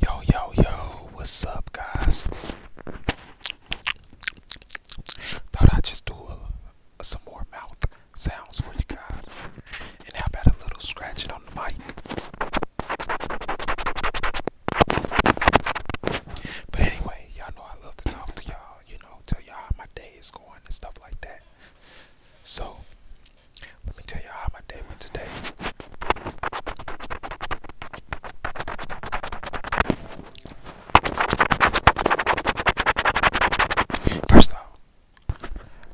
Yo, yo, yo, what's up, guys? Thought I'd just do some more mouth sounds for you guys. And how about a little scratching on the mic? But anyway, y'all know I love to talk to y'all, you know, tell y'all how my day is going and stuff like that. So, let me tell y'all how my day went today. First off,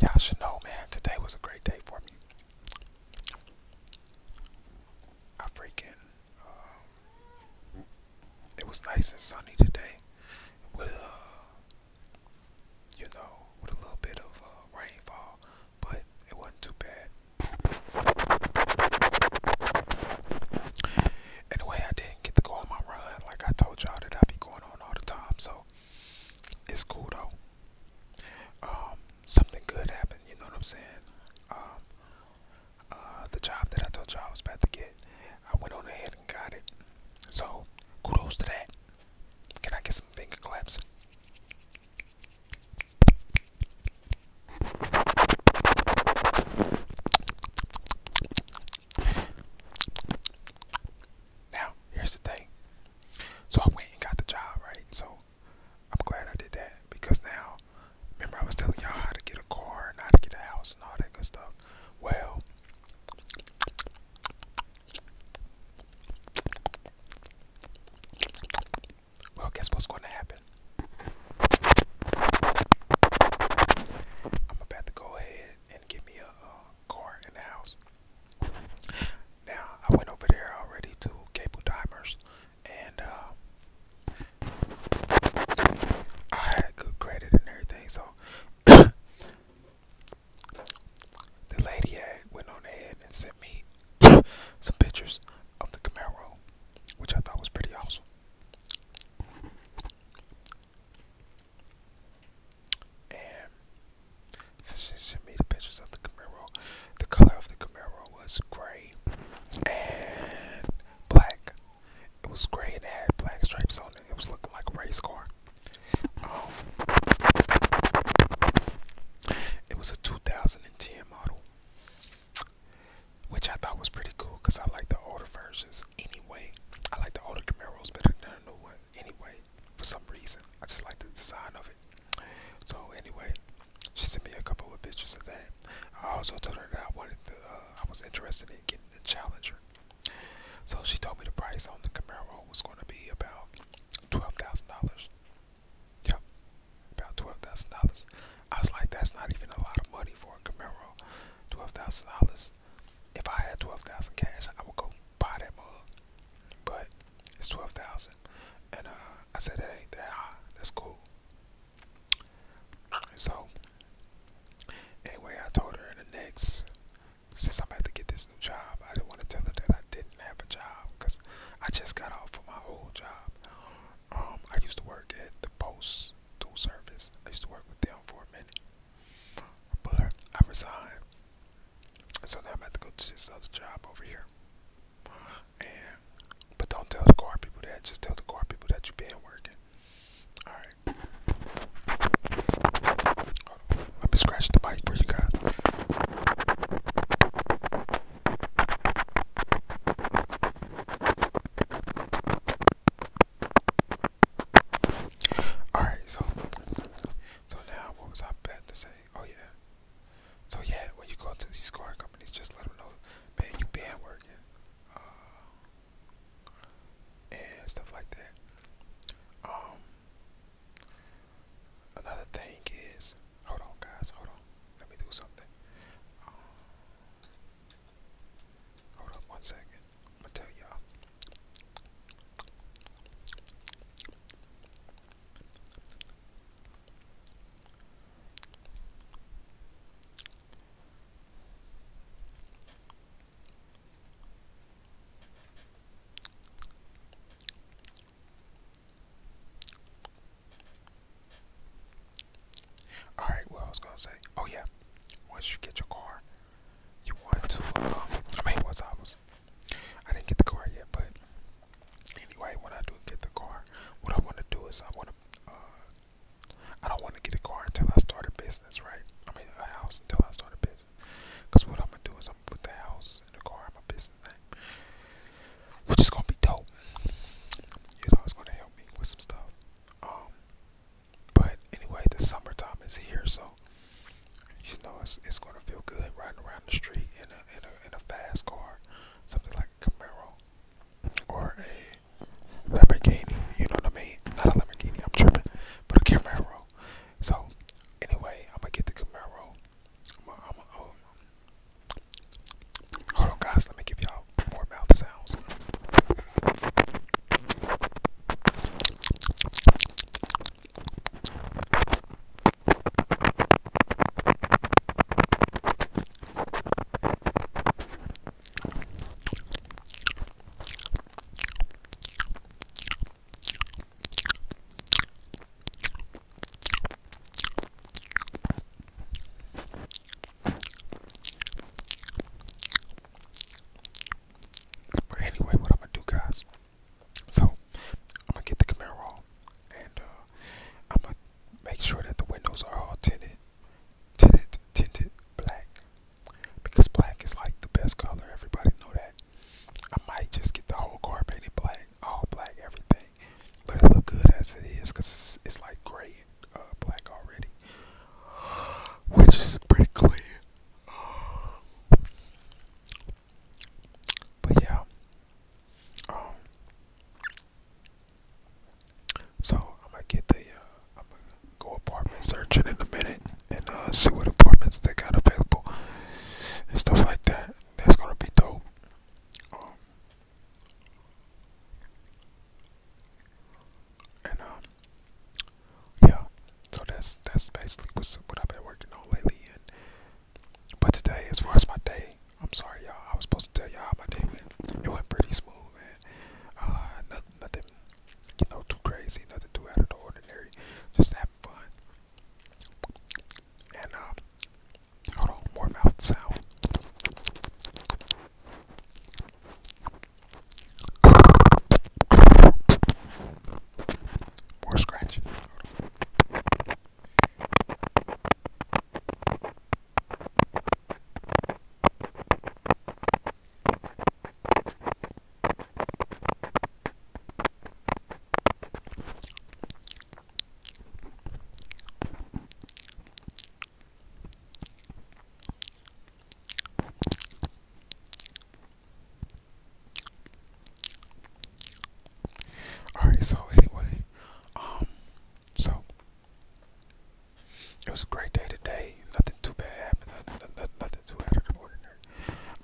y'all should know, man, today was a great day for me. I freaking, um, it was nice and sunny today. With, uh, you know, with a little bit of uh, rainfall, but it wasn't too bad. Anyway, I didn't get to go on my run. Like I told y'all that I be going on all the time, so it's cool though. Um, something good happened. You know what I'm saying? Um, uh, the job that I told y'all I was about to get, I went on ahead and got it. So kudos to that. Can I get some finger claps? Now, here's the thing. So I went and got the job, right? So I'm glad I did that because now, remember, I was telling y'all how to get a car and how to get a house and all that good stuff. Well, well, guess what's going to happen? I'm about to go ahead and give me a car in the house. Now, I went over there already to Cable Dimers, and uh, I had good credit and everything, so the lady had went on ahead and sent me some pictures of the Camaro, which I thought was pretty awesome. And since she sent me the pictures of the Camaro, the color of the Camaro was gray and black. It was gray and had black stripes on it. It was looking like a race car it was a 2010 model, which I thought was pretty cool because I like the older versions anyway. I like the older Camaros better than the new one anyway. For some reason, I just like the design of it. So anyway, she sent me a couple of pictures of that. I also told her that I wanted the, uh, I was interested in getting the Challenger. So she told me the price on the Camaro was going to be about twelve thousand dollars. Yep, about twelve thousand dollars. I was like, that's not even a lot of money for a Camaro. Twelve thousand dollars. If I had twelve thousand cash, I would go buy that mug. But it's twelve thousand, and uh, I said that ain't that high. That's cool. So anyway, I told her in the next since I'm about to get this new job, I didn't want to tell them that I didn't have a job because I just got off of my old job. Um, I used to work at the post tool service. I used to work with them for a minute, but I resigned. So now I'm about to go to this other job over here. And but don't tell the car people that. Just tell the car people that you've been working. All right. Let me scratch the mic for you guys. Alright, so so now what was I about to say? Oh yeah. So yeah, when you go to these car companies, just let them know, man, you been working, uh, and stuff like that. Um, Another thing is, hold on, guys, hold on. Let me do something. Um, hold up one second. I'm gonna tell y'all. All right, well, I was gonna say, oh yeah, once you get your car, you want to. Um, I mean, once I was, I didn't get the car yet, but anyway, when I do get the car, what I want to do is I want to. Uh, I don't want to get a car until I start a business, right? I mean, a house until I start a business. Cause what I'm gonna do is I'm gonna put the house and the car in my business name, which is gonna be dope. You know, it's gonna help me with some stuff. Um, but anyway, the summertime is here, so you know it's it's gonna feel good riding around the street in a in a in a fast car, something like a Camaro or a Lamborghini. You know what I mean? Not a Lamborghini, I'm tripping, but a Camaro. So anyway, I'm gonna get the Camaro. Um, hold on, guys. Let me give y'all more mouth sounds. But anyway, what I'm gonna do, guys? So I'm gonna get the camera off, and uh, I'm gonna make sure that the windows are all tinted, tinted, tinted black because black is like the best color. Everybody know that. I might just get the whole carpeted black, all black, everything. But it look good as it is because it's, like gray and uh, black already, which is pretty clear. But yeah, um, so I'm gonna get the uh, I'm gonna go apartment searching in a minute and uh, see what apartments they got available and stuff like that. That's gonna be dope. Um, and um, yeah, so that's that's basically what's, what I've been working on lately. but today, as far as my day, I'm sorry, y'all. I was supposed to tell y'all how my day went. It went pretty smooth, man. Uh, nothing, nothing, you know, too crazy. Nothing too out of the ordinary. Just having have And uh, hold on, more mouth sound. More scratch. All right, so anyway, um, so it was a great day today. Nothing too bad happened. Nothing, too out of the ordinary.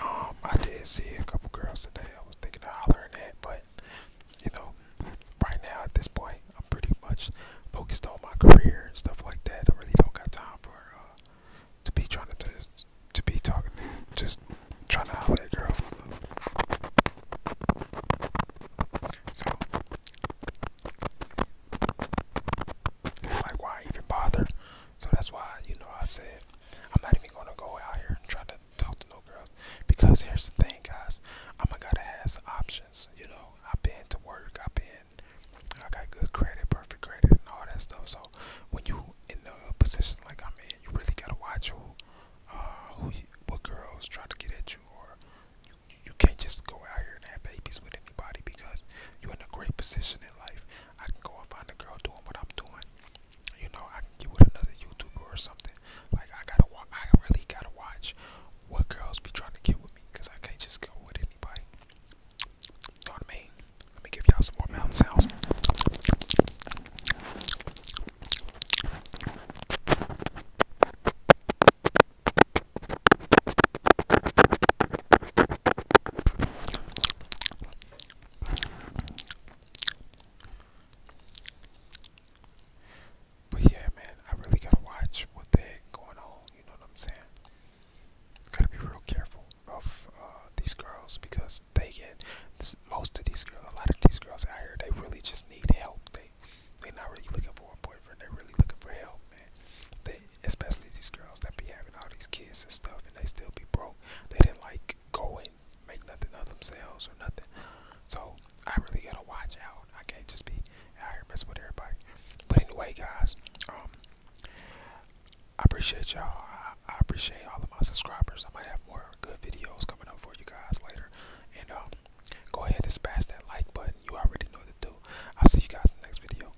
Um, I did see a couple girls today. I was thinking of hollering at, but you know, right now at this point, I'm pretty much focused on my career and stuff like that. I really don't got time for uh, to be trying to to, be talking to just trying to holler at girls So it's like why even bother? So that's why, you know, I said I'm not even gonna go out here and try to talk to no girls because here's the thing, guys. I'm a guy that has options. You know, I've been to work. I've been, I got good credit, perfect credit, and all that stuff. So when you in a position like I'm in, you really gotta watch who, uh, who what girls try to get at you, or you, you can't just go out here and have babies with anybody because you're in a great position in life. I can go and find a girl doing what I'm doing. You know, I can get with another YouTuber or something. Like I gotta watch. I really gotta watch what girls be trying to get with me, cause I can't just go with anybody. You know what I mean? Let me give y'all some more mouth sounds. But yeah, man, I really gotta watch what the going on. You know what I'm saying? Gotta be real careful of uh, these girls because they get most of these girls. A lot of these girls out here, they really just need help. They they're not really looking for a boyfriend. They're really looking for help, man. They especially these girls that be having all these kids and stuff, and they still be broke. They didn't like go and make nothing of themselves or nothing. So I really gotta watch out. I can't just be out here messing with everybody. But anyway, guys, um, I appreciate y'all. I, appreciate all of my subscribers. I might have more good videos coming up for you guys later. And um, go ahead and smash that like button. You already know to do. I'll see you guys in the next video.